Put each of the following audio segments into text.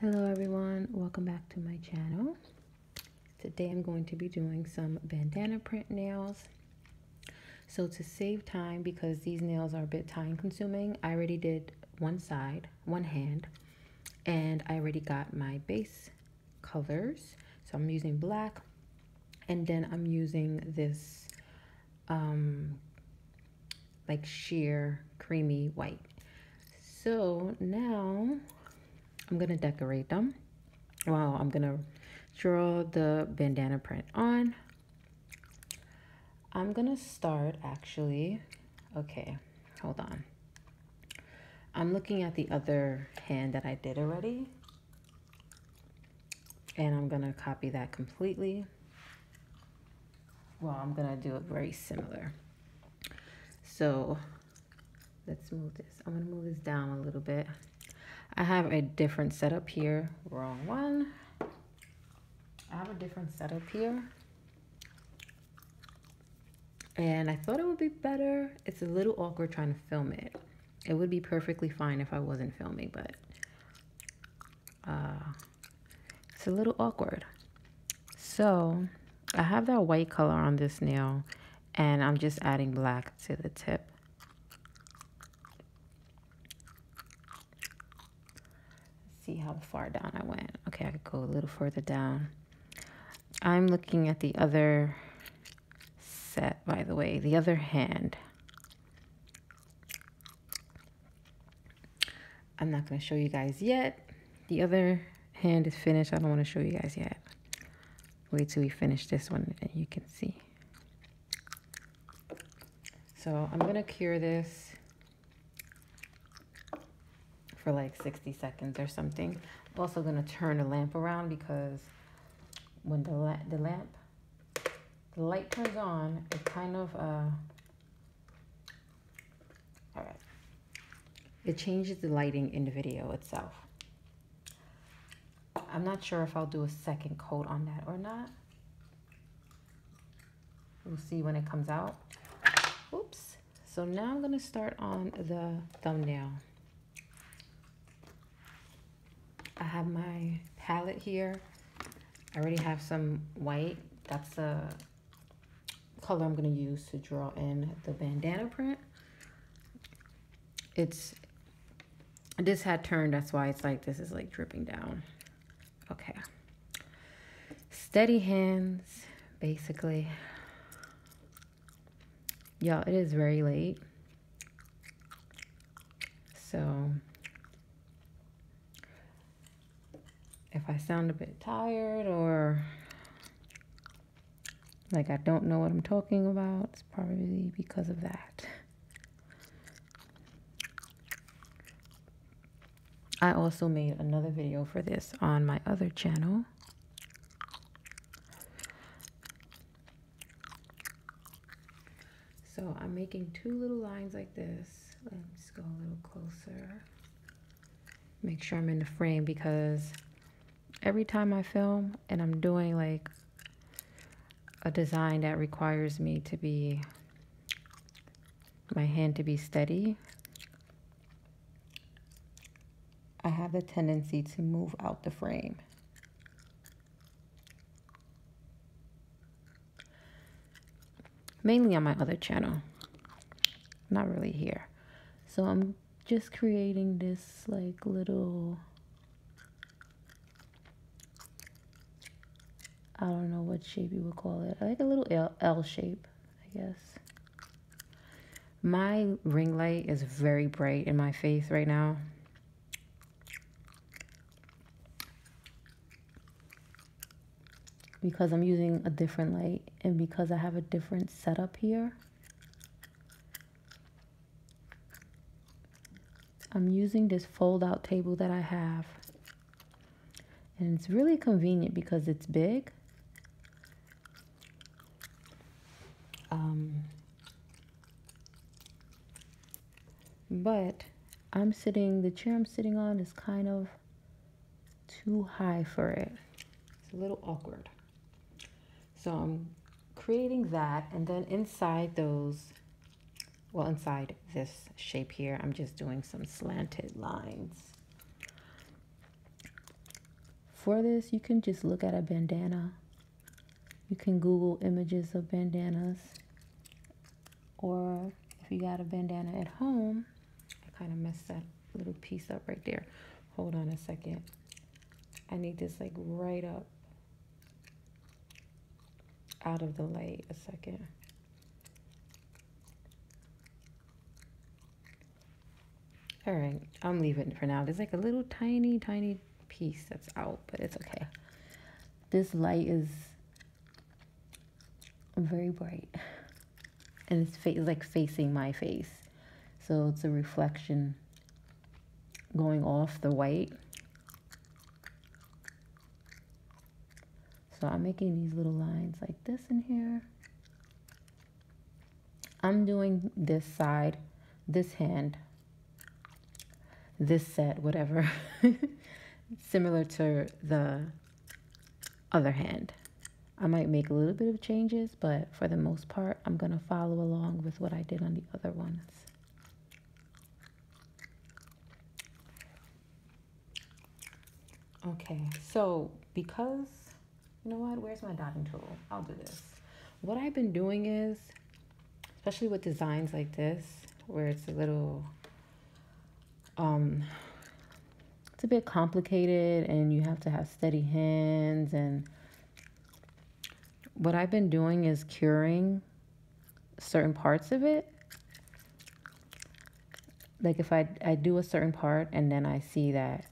Hello everyone, welcome back to my channel. Today I'm going to be doing some bandana print nails. So to save time, because these nails are a bit time consuming, I already did one side, one hand, and I already got my base colors. So I'm using black, and then I'm using this um, like sheer creamy white. So now I'm gonna decorate them. Wow, I'm gonna draw the bandana print on. I'm gonna start actually, okay, hold on. I'm looking at the other hand that I did already and I'm gonna copy that completely well, I'm going to do a very similar. So let's move this. I'm going to move this down a little bit. I have a different setup here. Wrong one. I have a different setup here. And I thought it would be better. It's a little awkward trying to film it. It would be perfectly fine if I wasn't filming, but uh, it's a little awkward. So I have that white color on this nail and I'm just adding black to the tip. see how far down I went. Okay, I could go a little further down. I'm looking at the other set, by the way, the other hand. I'm not going to show you guys yet. The other hand is finished. I don't want to show you guys yet. Wait till we finish this one and you can see. So I'm going to cure this for like 60 seconds or something. I'm also going to turn the lamp around because when the, the lamp, the light turns on, it kind of uh, all right. It changes the lighting in the video itself. I'm not sure if I'll do a second coat on that or not. We'll see when it comes out. Oops. So now I'm going to start on the thumbnail. I have my palette here. I already have some white. That's a color I'm going to use to draw in the bandana print. It's, this hat turned, that's why it's like, this is like dripping down. Okay. Steady hands, basically. Y'all, it is very late. So if I sound a bit tired or like I don't know what I'm talking about, it's probably because of that. I also made another video for this on my other channel. So I'm making two little lines like this. Let's go a little closer make sure I'm in the frame because every time I film and I'm doing like a design that requires me to be my hand to be steady I have the tendency to move out the frame mainly on my other channel, not really here. So I'm just creating this like little, I don't know what shape you would call it, like a little L, L shape, I guess. My ring light is very bright in my face right now because I'm using a different light and because I have a different setup here. I'm using this fold out table that I have and it's really convenient because it's big. Um, but I'm sitting, the chair I'm sitting on is kind of too high for it. It's a little awkward. So I'm creating that and then inside those, well inside this shape here, I'm just doing some slanted lines. For this, you can just look at a bandana. You can Google images of bandanas or if you got a bandana at home, I kind of messed that little piece up right there. Hold on a second. I need this like right up out of the light a second. All right, I'm leaving for now. There's like a little tiny, tiny piece that's out, but it's okay. This light is very bright and it's fa- like facing my face so it's a reflection going off the white so I'm making these little lines like this in here I'm doing this side this hand this set whatever similar to the other hand. I might make a little bit of changes, but for the most part, I'm going to follow along with what I did on the other ones. Okay, so because, you know what, where's my dotting tool? I'll do this. What I've been doing is, especially with designs like this, where it's a little um, it's a bit complicated and you have to have steady hands and what I've been doing is curing certain parts of it. Like if I, I do a certain part and then I see that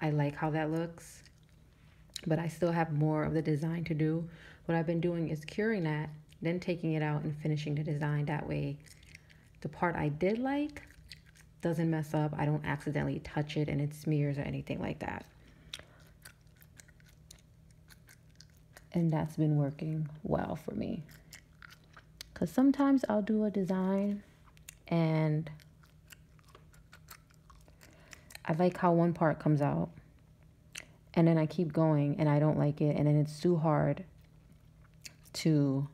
I like how that looks, but I still have more of the design to do. What I've been doing is curing that, then taking it out and finishing the design. That way the part I did like doesn't mess up. I don't accidentally touch it and it smears or anything like that. And that's been working well for me. Because sometimes I'll do a design and I like how one part comes out and then I keep going and I don't like it and then it's too hard to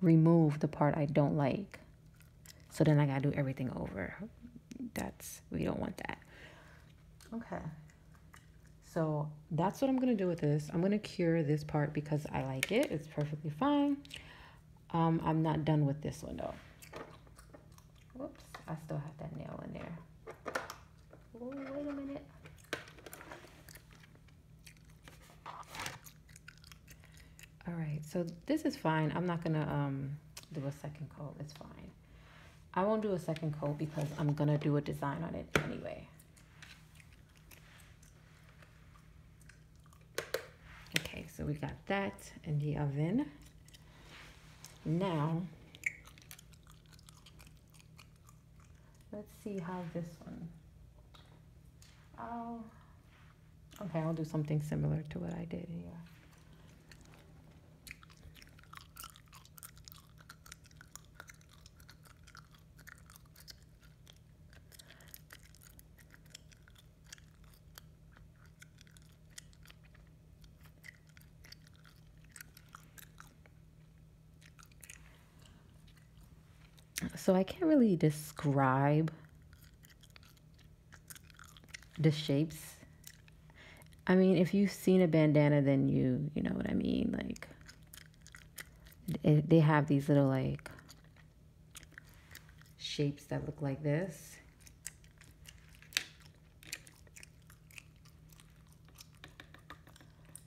remove the part I don't like. So then I gotta do everything over. That's, we don't want that. Okay. So that's what I'm gonna do with this. I'm gonna cure this part because I like it. It's perfectly fine. Um, I'm not done with this one though. Whoops, I still have that nail in there. Oh, wait a minute. All right, so this is fine. I'm not gonna um, do a second coat, it's fine. I won't do a second coat because I'm gonna do a design on it anyway. Okay, so we got that in the oven. Now, Let's see how this one. Oh, okay, I'll do something similar to what I did here. So I can't really describe the shapes. I mean, if you've seen a bandana, then you you know what I mean. Like they have these little like shapes that look like this.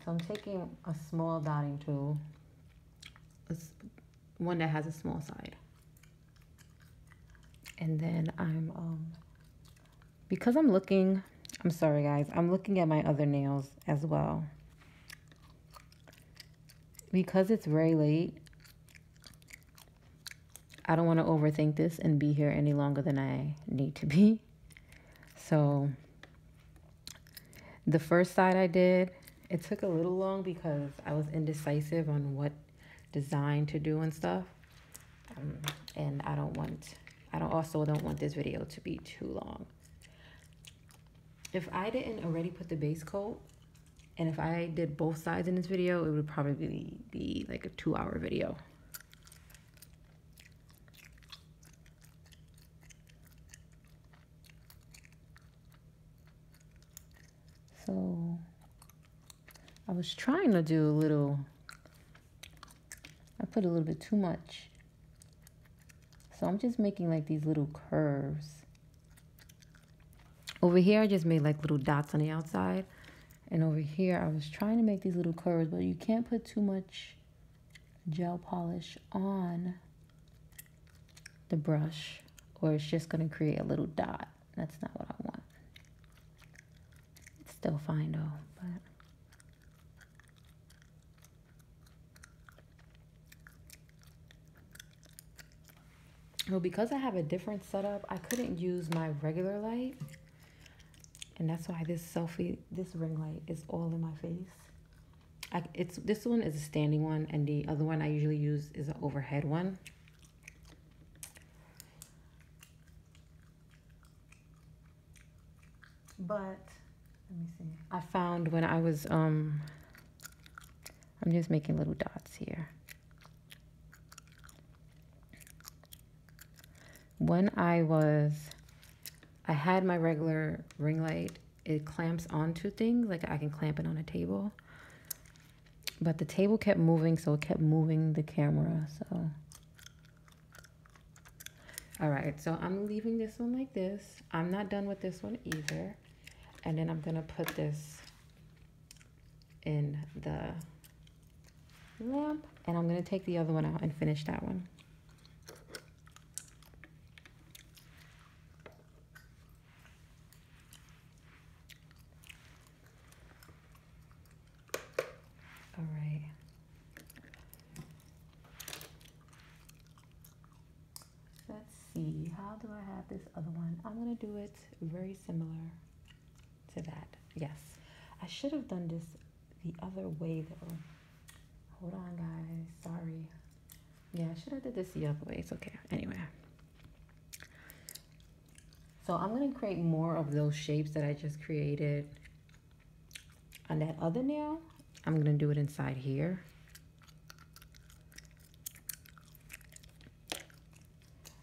So I'm taking a small dotting tool, one that has a small side. And then I'm, um, because I'm looking, I'm sorry guys, I'm looking at my other nails as well. Because it's very late, I don't want to overthink this and be here any longer than I need to be. So the first side I did, it took a little long because I was indecisive on what design to do and stuff. Um, and I don't want, I don't also don't want this video to be too long. If I didn't already put the base coat, and if I did both sides in this video, it would probably be like a two hour video. So I was trying to do a little, I put a little bit too much. So I'm just making like these little curves. Over here, I just made like little dots on the outside. And over here, I was trying to make these little curves, but you can't put too much gel polish on the brush or it's just going to create a little dot. That's not what I want. It's still fine though, but... Well, because I have a different setup, I couldn't use my regular light and that's why this selfie this ring light is all in my face I, it's this one is a standing one and the other one I usually use is an overhead one but let me see I found when I was um I'm just making little dots here when I was, I had my regular ring light, it clamps onto things, like I can clamp it on a table. But the table kept moving, so it kept moving the camera, so. All right, so I'm leaving this one like this. I'm not done with this one either. And then I'm gonna put this in the lamp and I'm gonna take the other one out and finish that one. All right. Let's see, how do I have this other one? I'm gonna do it very similar to that. Yes, I should have done this the other way though. Hold on, guys. Sorry. Yeah, I should have did this the other way. It's okay. Anyway. So I'm going to create more of those shapes that I just created on that other nail. I'm going to do it inside here.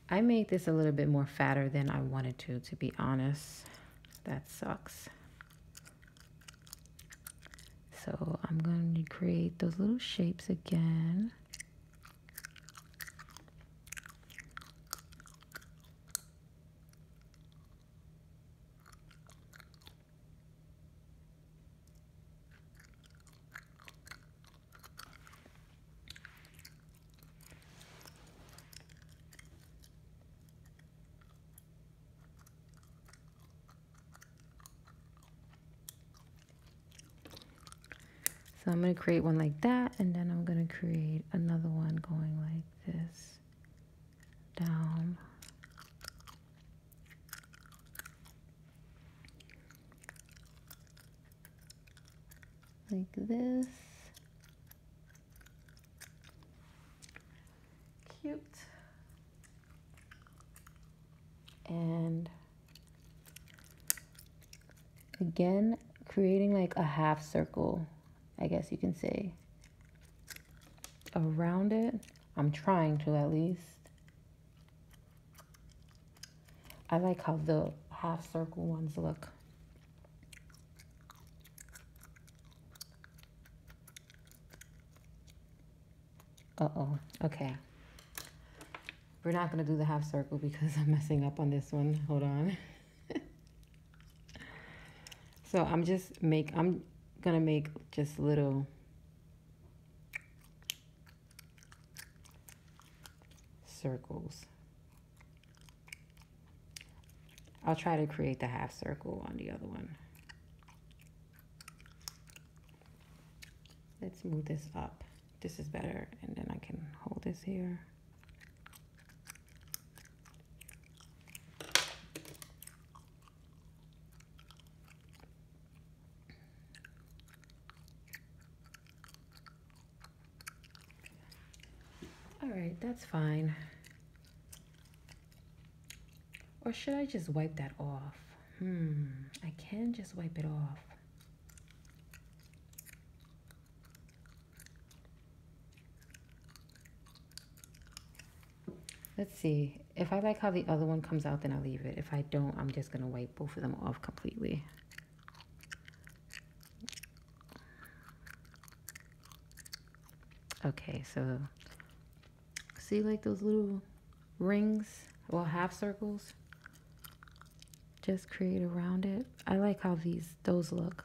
I made this a little bit more fatter than I wanted to, to be honest. That sucks. So I'm going to create those little shapes again. So I'm going to create one like that, and then I'm going to create another one going like this down. Like this. Cute. And again, creating like a half circle, I guess you can say, around it. I'm trying to at least. I like how the half circle ones look. Uh-oh. Okay. We're not going to do the half circle because I'm messing up on this one. Hold on. so I'm just make, I'm going to make just little circles. I'll try to create the half circle on the other one. Let's move this up. This is better. And then I can hold this here. All right, that's fine. Or should I just wipe that off? Hmm, I can just wipe it off. Let's see. If I like how the other one comes out, then I'll leave it. If I don't, I'm just going to wipe both of them off completely. Okay, so see like those little rings, or half circles? Just create around it. I like how these, those look.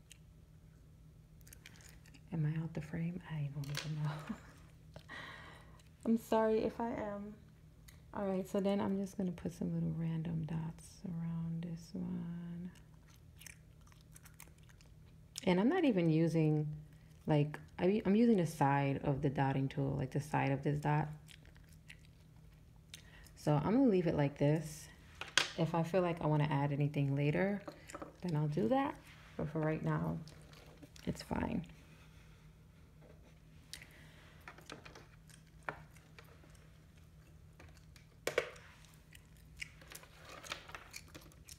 Am I out the frame? I don't even know. I'm sorry if I am. All right, so then I'm just gonna put some little random dots around this one. And I'm not even using, like, I, I'm using the side of the dotting tool, like the side of this dot. So I'm gonna leave it like this. If I feel like I wanna add anything later, then I'll do that. But for right now, it's fine.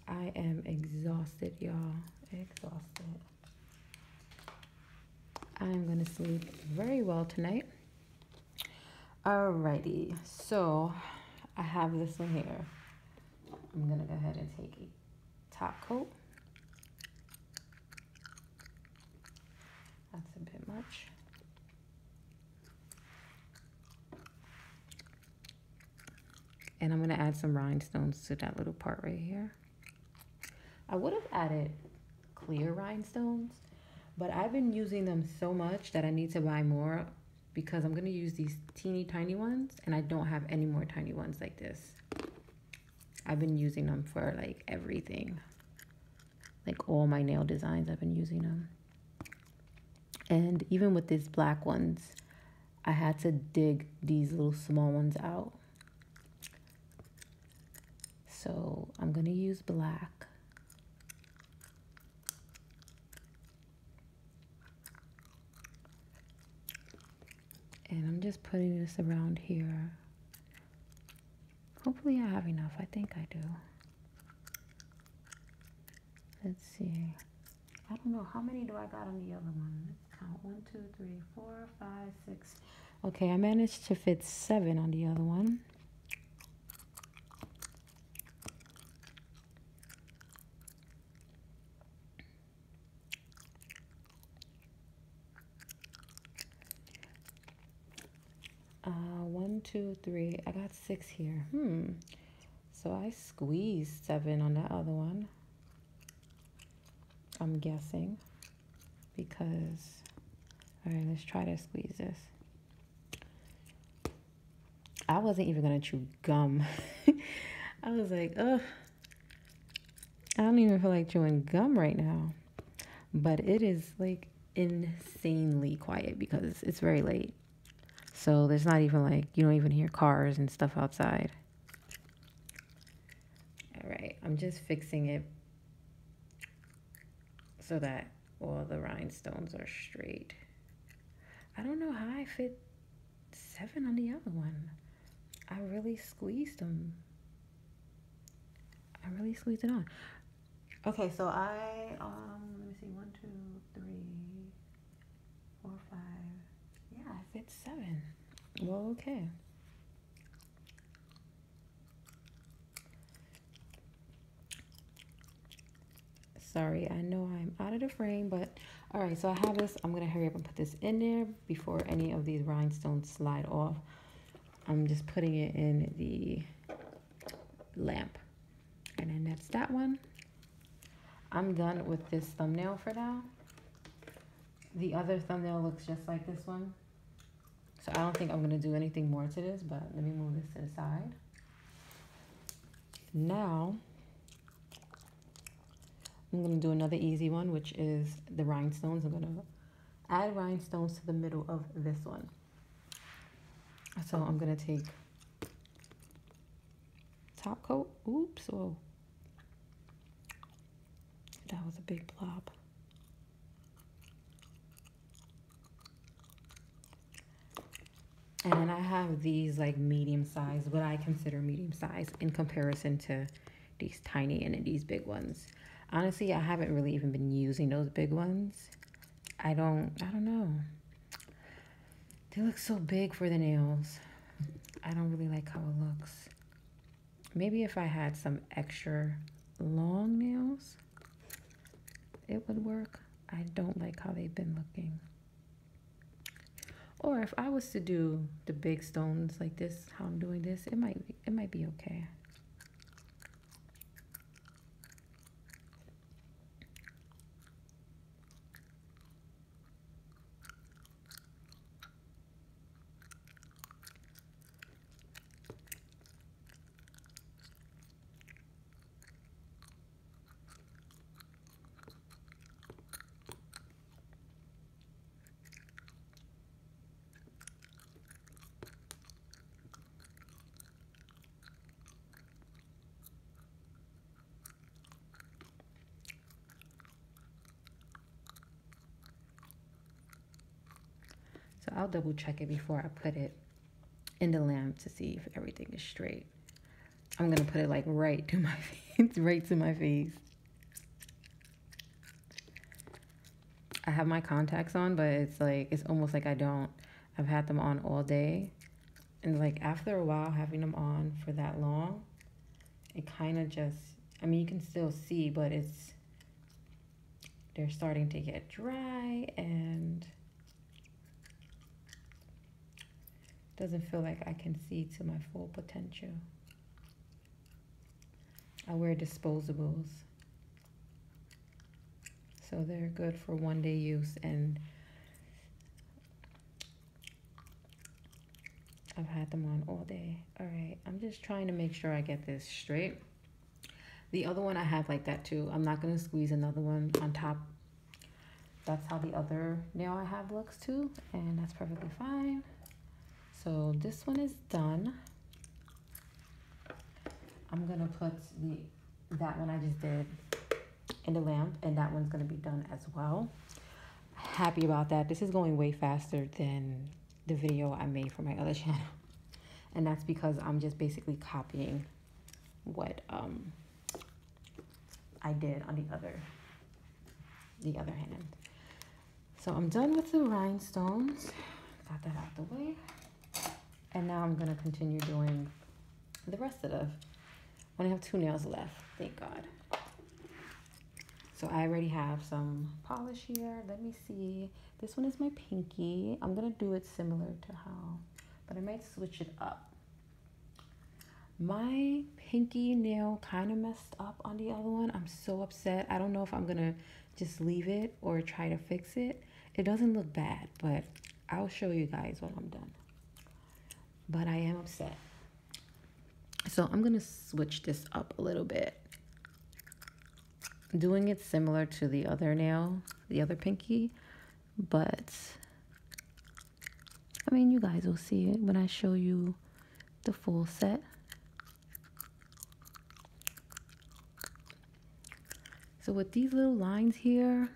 I am exhausted, y'all. Exhausted. I'm gonna sleep very well tonight. Alrighty, so I have this one here. I'm gonna go ahead and take a top coat. That's a bit much. And I'm gonna add some rhinestones to that little part right here. I would have added clear rhinestones, but I've been using them so much that I need to buy more because I'm going to use these teeny tiny ones and I don't have any more tiny ones like this. I've been using them for like everything. Like all my nail designs, I've been using them. And even with these black ones, I had to dig these little small ones out. So I'm going to use black. And I'm just putting this around here. Hopefully I have enough. I think I do. Let's see. I don't know. How many do I got on the other one? Let's count. One, two, three, four, five, six. Okay, I managed to fit seven on the other one. Uh, one, two, three. I got six here. Hmm. So I squeezed seven on that other one. I'm guessing because all right, let's try to squeeze this. I wasn't even gonna chew gum. I was like, ugh, I don't even feel like chewing gum right now. But it is like insanely quiet because it's very late. So there's not even like, you don't even hear cars and stuff outside. All right, I'm just fixing it so that all the rhinestones are straight. I don't know how I fit seven on the other one. I really squeezed them. I really squeezed it on. Okay, so I um let me see one, two, three, four, five. Yeah, I fit seven. okay sorry i know i'm out of the frame but all right so i have this i'm gonna hurry up and put this in there before any of these rhinestones slide off i'm just putting it in the lamp and then that's that one i'm done with this thumbnail for now the other thumbnail looks just like this one so i don't think i'm gonna do anything more to this but let me move this to the side now I'm going to do another easy one, which is the rhinestones. I'm going to add rhinestones to the middle of this one. So I'm going to take top coat. Oops, whoa. That was a big blob. And I have these like medium size, what I consider medium size in comparison to these tiny and these big ones. Honestly, I haven't really even been using those big ones. I don't, I don't know. They look so big for the nails. I don't really like how it looks. Maybe if I had some extra long nails, it would work. I don't like how they've been looking. Or if I was to do the big stones like this, how I'm doing this, it might it might be okay. So I'll double check it before I put it in the lamp to see if everything is straight. I'm gonna put it like right to my face, right to my face. I have my contacts on, but it's like it's almost like I don't. I've had them on all day. And like after a while having them on for that long, it kind of just I mean you can still see, but it's they're starting to get dry and doesn't feel like I can see to my full potential. I wear disposables. So they're good for one day use and I've had them on all day. All right, I'm just trying to make sure I get this straight. The other one I have like that too. I'm not gonna squeeze another one on top that's how the other nail I have looks too, and that's perfectly fine. So this one is done. I'm gonna put the that one I just did in the lamp, and that one's gonna be done as well. Happy about that. This is going way faster than the video I made for my other channel. And that's because I'm just basically copying what um, I did on the other, the other hand. So I'm done with the rhinestones. Got that out the way. And now I'm gonna continue doing the rest of the, I only have two nails left, thank God. So I already have some polish here. Let me see. This one is my pinky. I'm gonna do it similar to how, but I might switch it up. My pinky nail kind of messed up on the other one. I'm so upset. I don't know if I'm going to just leave it or try to fix it. It doesn't look bad, but I'll show you guys when I'm done. But I am upset. So I'm going to switch this up a little bit. Doing it similar to the other nail, the other pinky, but I mean, you guys will see it when I show you the full set. So with these little lines here,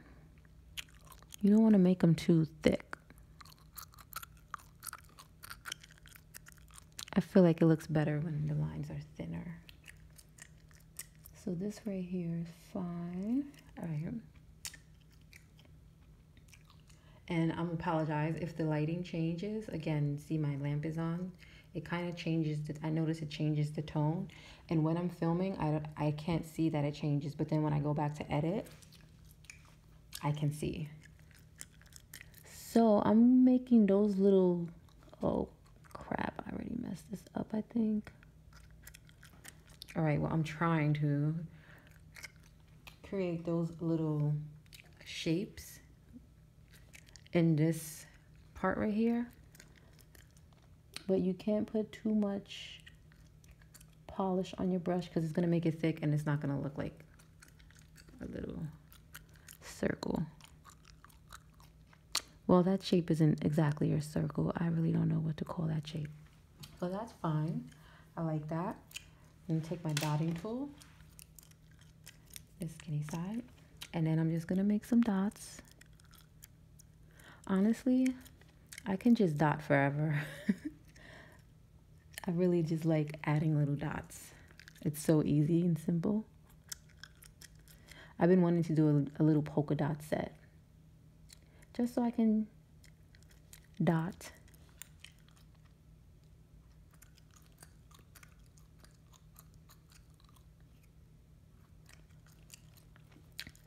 you don't want to make them too thick. I feel like it looks better when the lines are thinner. So this right here is fine. All right. And I'm apologize if the lighting changes. Again, see my lamp is on. It kind of changes, I notice it changes the tone. And when I'm filming, I, I can't see that it changes. But then when I go back to edit, I can see. So I'm making those little, oh crap, I already messed this up, I think. All right, well, I'm trying to create those little shapes in this part right here. But you can't put too much polish on your brush because it's going to make it thick and it's not going to look like a little circle. Well, that shape isn't exactly a circle. I really don't know what to call that shape. So that's fine. I like that. I'm going to take my dotting tool, the skinny side, and then I'm just going to make some dots. Honestly, I can just dot forever. I really just like adding little dots. It's so easy and simple. I've been wanting to do a little polka dot set just so I can dot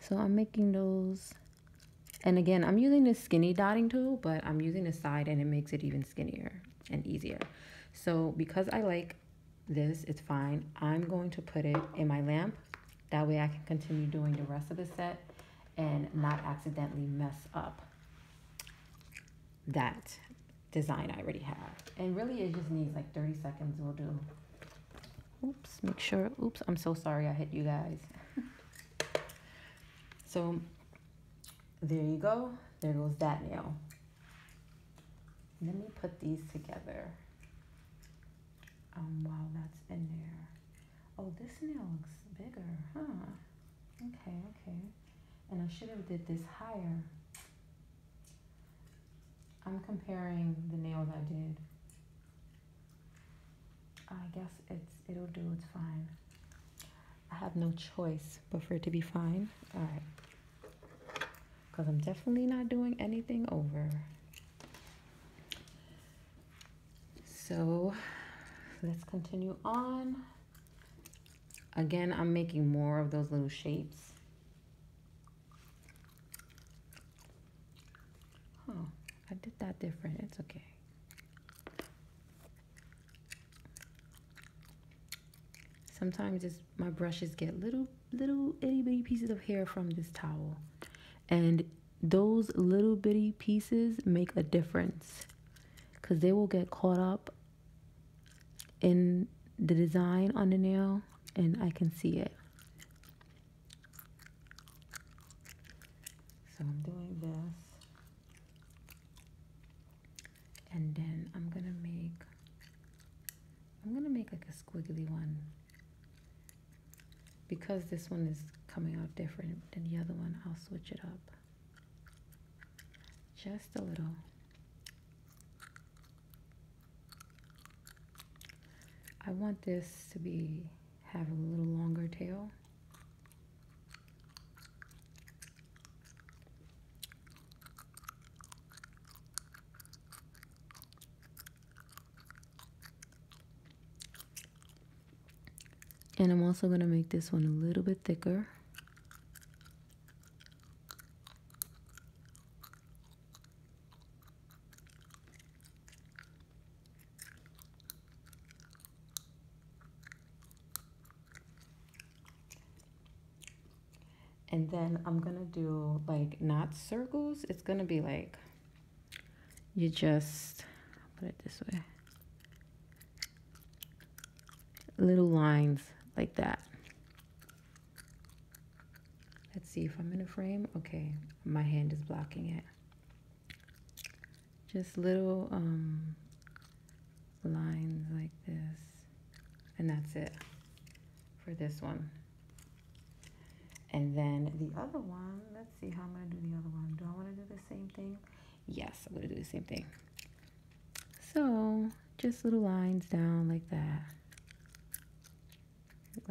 so I'm making those and again I'm using the skinny dotting tool but I'm using the side and it makes it even skinnier and easier so because I like this it's fine I'm going to put it in my lamp that way I can continue doing the rest of the set and not accidentally mess up that design I already have. And really it just needs like 30 seconds will do. Oops, make sure, oops, I'm so sorry I hit you guys. so there you go, there goes that nail. Let me put these together. Um, wow, that's in there oh, this nail looks bigger, huh? Okay, okay. And I should have did this higher. I'm comparing the nails I did. I guess it's it'll do, it's fine. I have no choice but for it to be fine. All right. Because I'm definitely not doing anything over. So let's continue on. Again, I'm making more of those little shapes. Oh, I did that different. It's okay. Sometimes just my brushes get little, little itty bitty pieces of hair from this towel. And those little bitty pieces make a difference because they will get caught up in the design on the nail and I can see it. So I'm doing this and then I'm gonna make I'm gonna make like a squiggly one because this one is coming out different than the other one, I'll switch it up just a little. I want this to be have a little longer tail. And I'm also going to make this one a little bit thicker. And then I'm going to do like not circles. It's going to be like you just put it this way little lines like that let's see if I'm in a frame okay my hand is blocking it just little um, lines like this and that's it for this one and then the other one let see how I'm going to do the other one. Do I want to do the same thing? Yes, I'm going to do the same thing. So, just little lines down like that.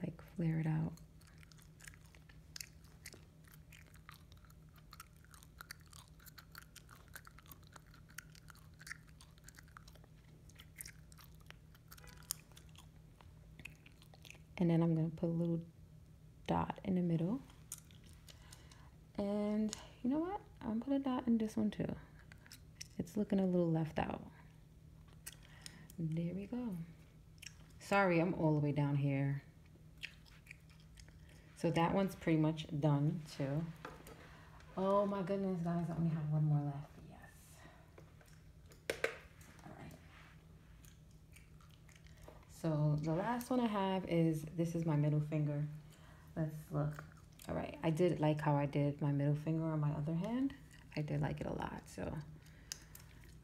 Like flare it out. And then I'm going to put a little dot in the middle. And you know what? I'm put a dot in this one too. It's looking a little left out. There we go. Sorry, I'm all the way down here. So that one's pretty much done too. Oh my goodness, guys, I only have one more left. Yes. All right. So the last one I have is, this is my middle finger. Let's look. All right, I did like how I did my middle finger on my other hand. I did like it a lot, so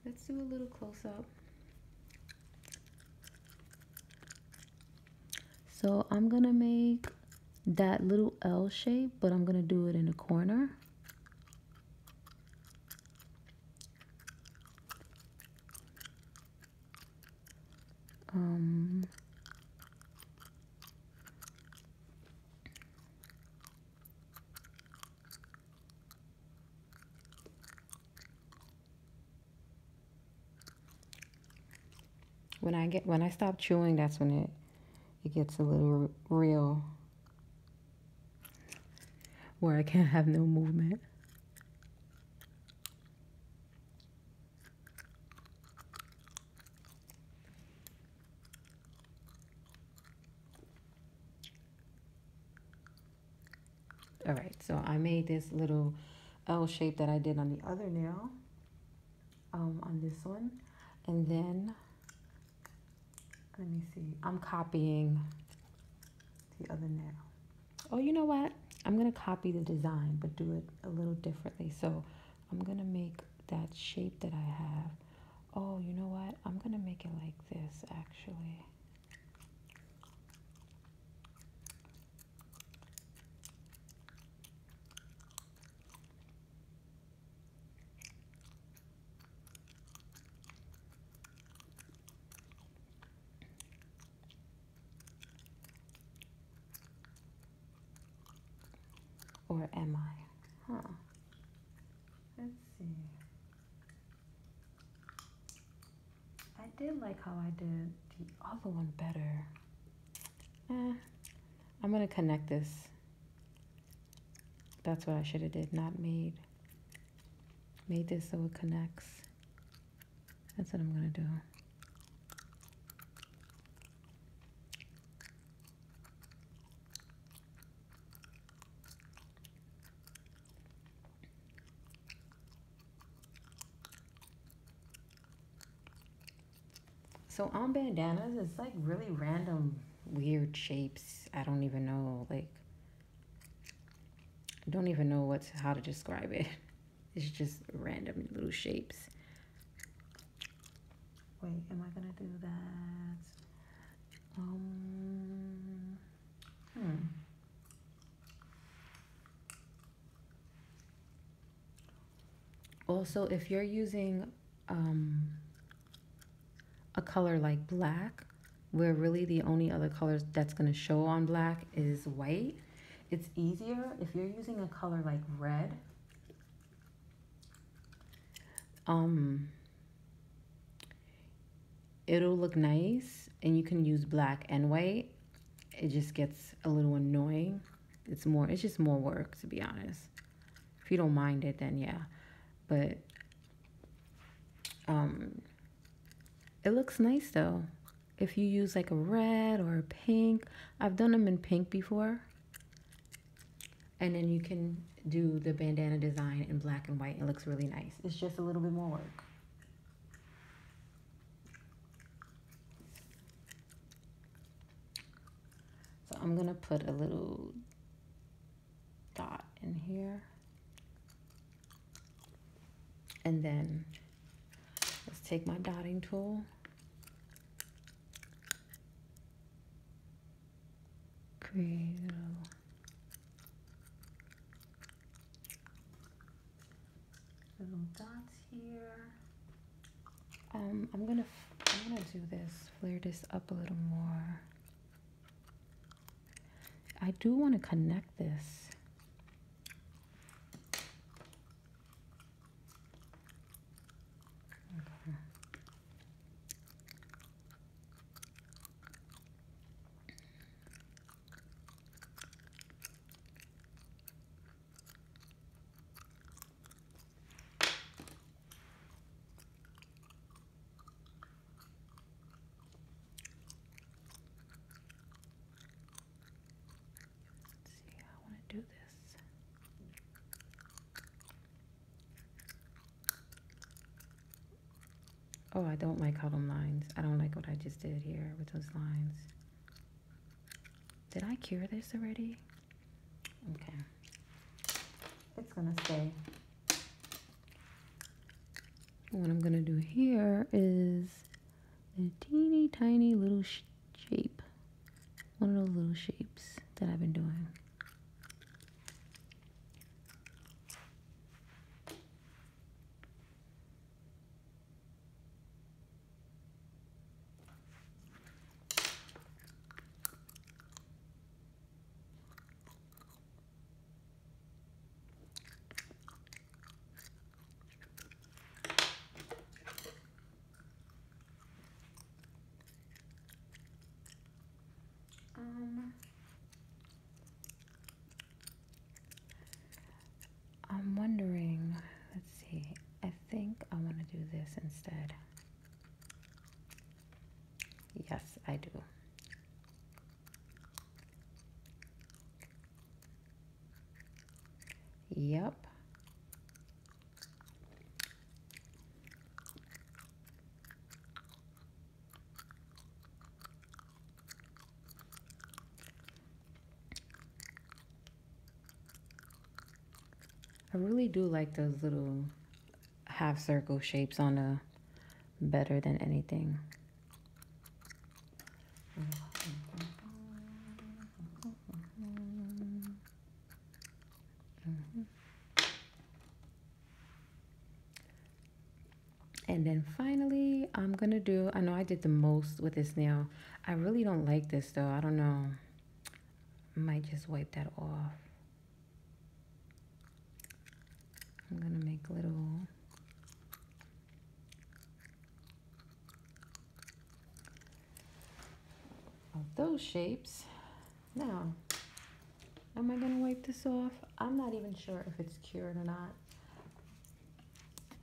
let's do a little close up. So I'm gonna make that little L shape, but I'm gonna do it in the corner. Um, when I get when I stop chewing, that's when it it gets a little real where I can't have no movement. All right, so I made this little L shape that I did on the other nail, um, on this one. And then, let me see, I'm copying the other now. Oh, you know what? I'm going to copy the design, but do it a little differently. So I'm going to make that shape that I have. Oh, you know what? I'm going to make it like this, actually. Or am I? Huh. Let's see. I did like how I did the other one better. Eh, I'm going to connect this. That's what I should have did, not made. Made this so it connects. That's what I'm going to do. So on bandanas, it's like really random, weird shapes. I don't even know. Like, I don't even know what's how to describe it. It's just random little shapes. Wait, am I gonna do that? Um, hmm. Also, if you're using um, a color like black, where really the only other colors that's going to show on black is white. It's easier if you're using a color like red. Um, it'll look nice and you can use black and white. It just gets a little annoying. It's more, it's just more work to be honest. If you don't mind it, then yeah. But um, it looks nice though. If you use like a red or a pink, I've done them in pink before. And then you can do the bandana design in black and white. It looks really nice. It's just a little bit more work. So I'm gonna put a little dot in here. And then let's take my dotting tool. Create a little little dots here. Um, I'm gonna I'm gonna do this, flare this up a little more. I do want to connect this see I want to do this. Oh, I don't like how them lines. I don't like what I just did here with those lines. Did I cure this already? Okay. It's gonna stay. What I'm gonna do here is a teeny tiny little shape. One of those little shapes that I've been doing. Um, I'm wondering, let's see, I think I want to do this instead. Yes, I do. Yep. I really do like those little half circle shapes on the better than anything. And then finally, I'm going to do, I know I did the most with this nail. I really don't like this though. I don't know. might just wipe that off. I'm going to make little those shapes. Now, am I gonna wipe this off? I'm not even sure if it's cured or not.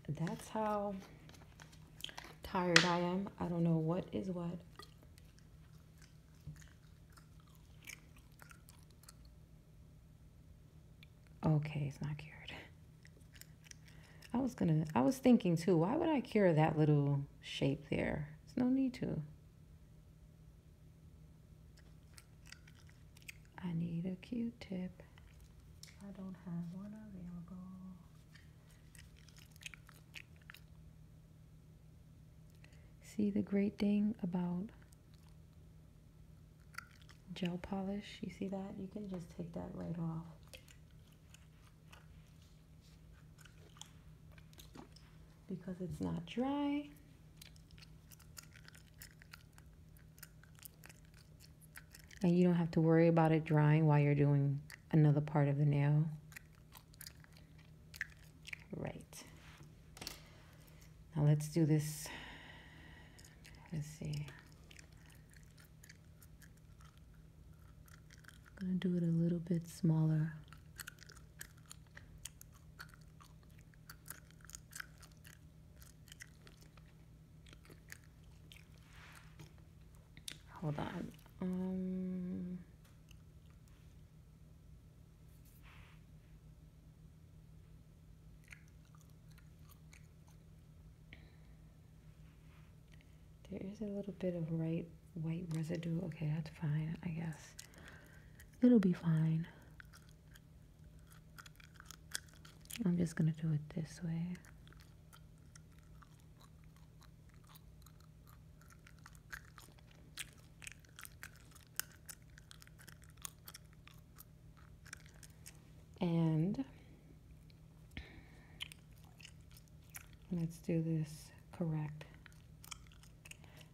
That's how tired I am. I don't know what is what. Okay, it's not cured. I was gonna, I was thinking too, why would I cure that little shape there? There's no need to. I need a Q-tip. I don't have one available. See the great thing about gel polish. You see that? You can just take that right off. Because it's not dry. And you don't have to worry about it drying while you're doing another part of the nail. Right. Now let's do this Let's see. I'm gonna do it a little bit smaller. Hold on. Um, there is a little bit of right white residue. Okay, that's fine, I guess. It'll be fine. I'm just gonna do it this way. And let's do this correct.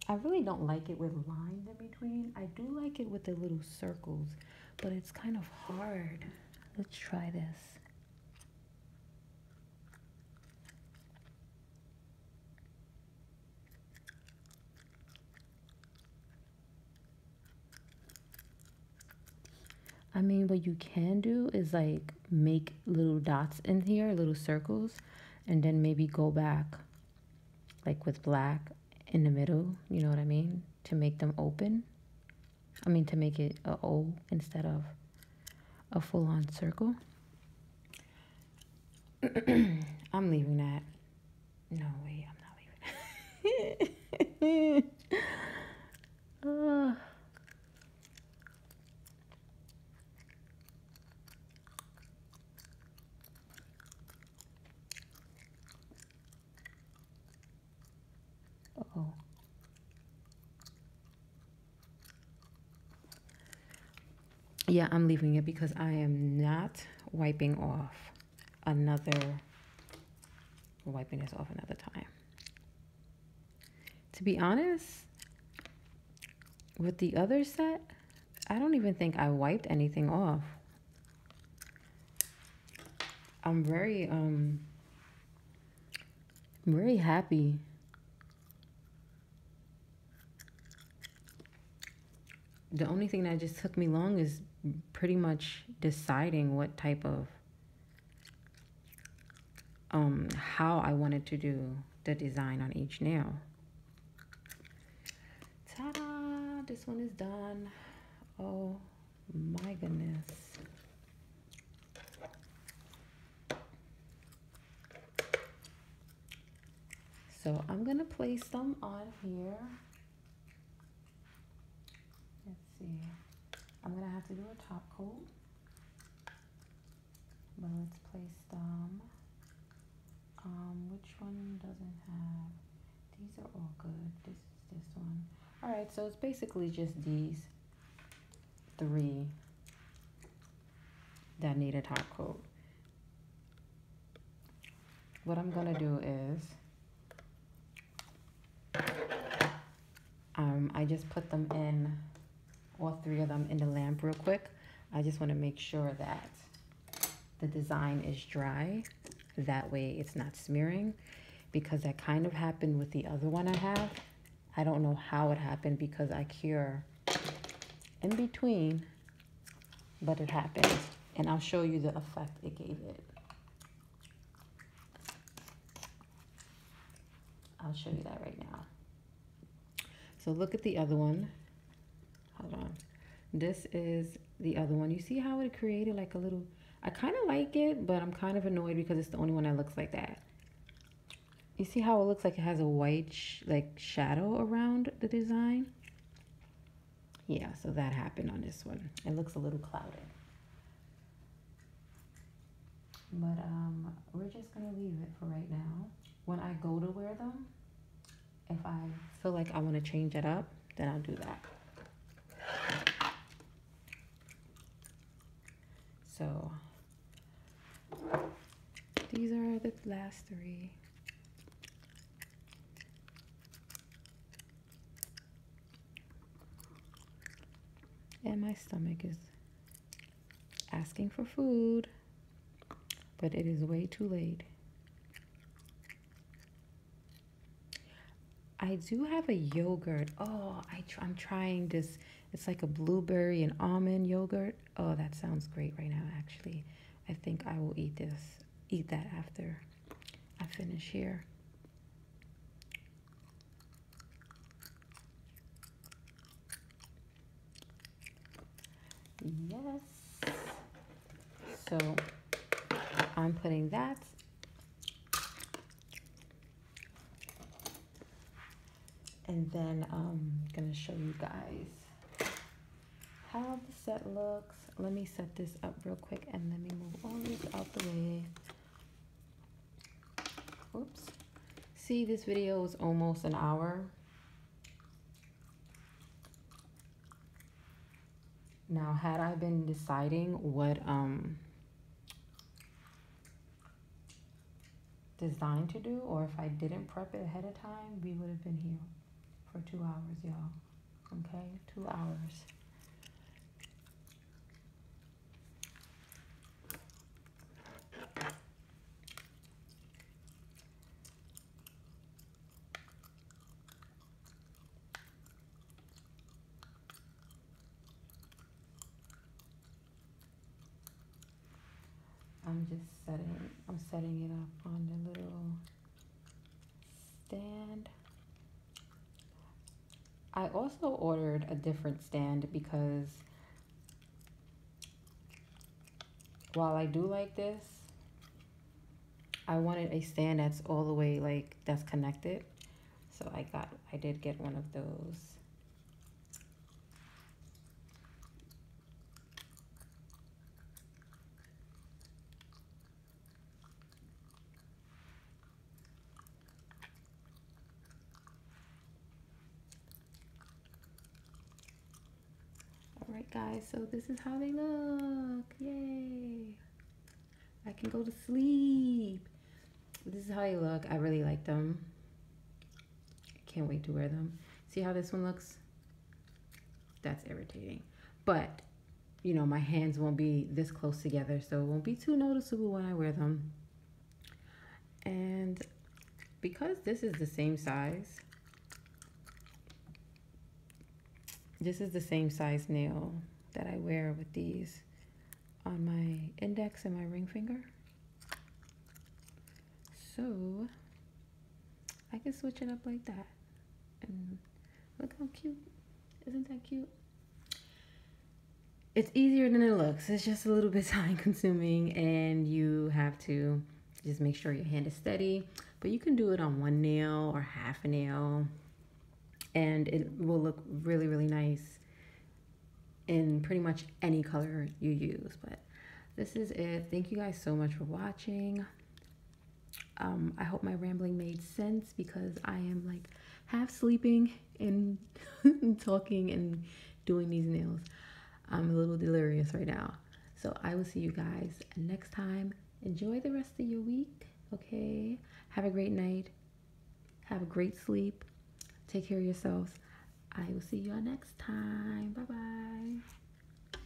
I really don't like it with lines in between. I do like it with the little circles, but it's kind of hard. Let's try this. I mean, what you can do is like make little dots in here, little circles, and then maybe go back like with black in the middle, you know what I mean? To make them open. I mean, to make it a O instead of a full-on circle. I'm leaving that. No, way! I'm not leaving. Oh. Yeah, I'm leaving it because I am not wiping off another, wiping this off another time. To be honest, with the other set, I don't even think I wiped anything off. I'm very, um, I'm very happy the only thing that just took me long is pretty much deciding what type of um, how I wanted to do the design on each nail. Ta-da! This one is done. Oh my goodness. So I'm going to place them on here. Let's see. I'm going to have to do a top coat. Well, let's place them. Um, which one doesn't have? These are all good. This is this one. All right, so it's basically just these three that need a top coat. What I'm going to do is um, I just put them in, all three of them in the lamp real quick. I just want to make sure that the design is dry. That way it's not smearing because that kind of happened with the other one I have. I don't know how it happened because I cure in between, but it happened. And I'll show you the effect it gave it. I'll show you that right now. So look at the other one. Hold on. This is the other one. You see how it created like a little, I kind of like it, but I'm kind of annoyed because it's the only one that looks like that. You see how it looks like it has a white like shadow around the design? yeah, so that happened on this one. It looks a little clouded. But um, we're just going to leave it for right now. When I go to wear them, if I feel like I want to change it up, then I'll do that. So these are the last three. And my stomach is asking for food, but it is way too late. I do have a yogurt. Oh, I am trying this. It's like a blueberry and almond yogurt. Oh, that sounds great right now, actually. I think I will eat this, eat that after. I finish here. Yes. So I'm putting that and then I'm gonna show you guys how the set looks. Let me set this up real quick and let me move all this out the way. Oops. See, this video is almost an hour. Now, had I been deciding what um, designed to do or if I didn't prep it ahead of time, we would have been here for two hours, y'all okay two hours I'm just setting I'm setting it up on the little stand. I also ordered a different stand because while I do like this, I wanted a stand that's all the way like that's connected. So I got, I did get one of those. All right, guys, so this is how they look. Yay. I can go to sleep. This is how they look. I really like them. can't wait to wear them. See how this one looks? That's irritating. But you know, my hands won't be this close together, so it won't be too noticeable when I wear them. And because this is the same size, this is the same size nail that I wear with these on my index and my ring finger. So I can switch it up like that Look how cute. Isn't that cute? It's easier than it looks. It's just a little bit time consuming and you have to just make sure your hand is steady. But you can do it on one nail or half a nail and it will look really, really nice in pretty much any color you use. But this is it. Thank you guys so much for watching. Um, I hope my rambling made sense because I am like half sleeping and talking and doing these nails. I'm a little delirious right now. So I will see you guys next time. Enjoy the rest of your week, okay? Have a great night. Have a great sleep. Take care of yourselves. I will see y'all next time. Bye-bye.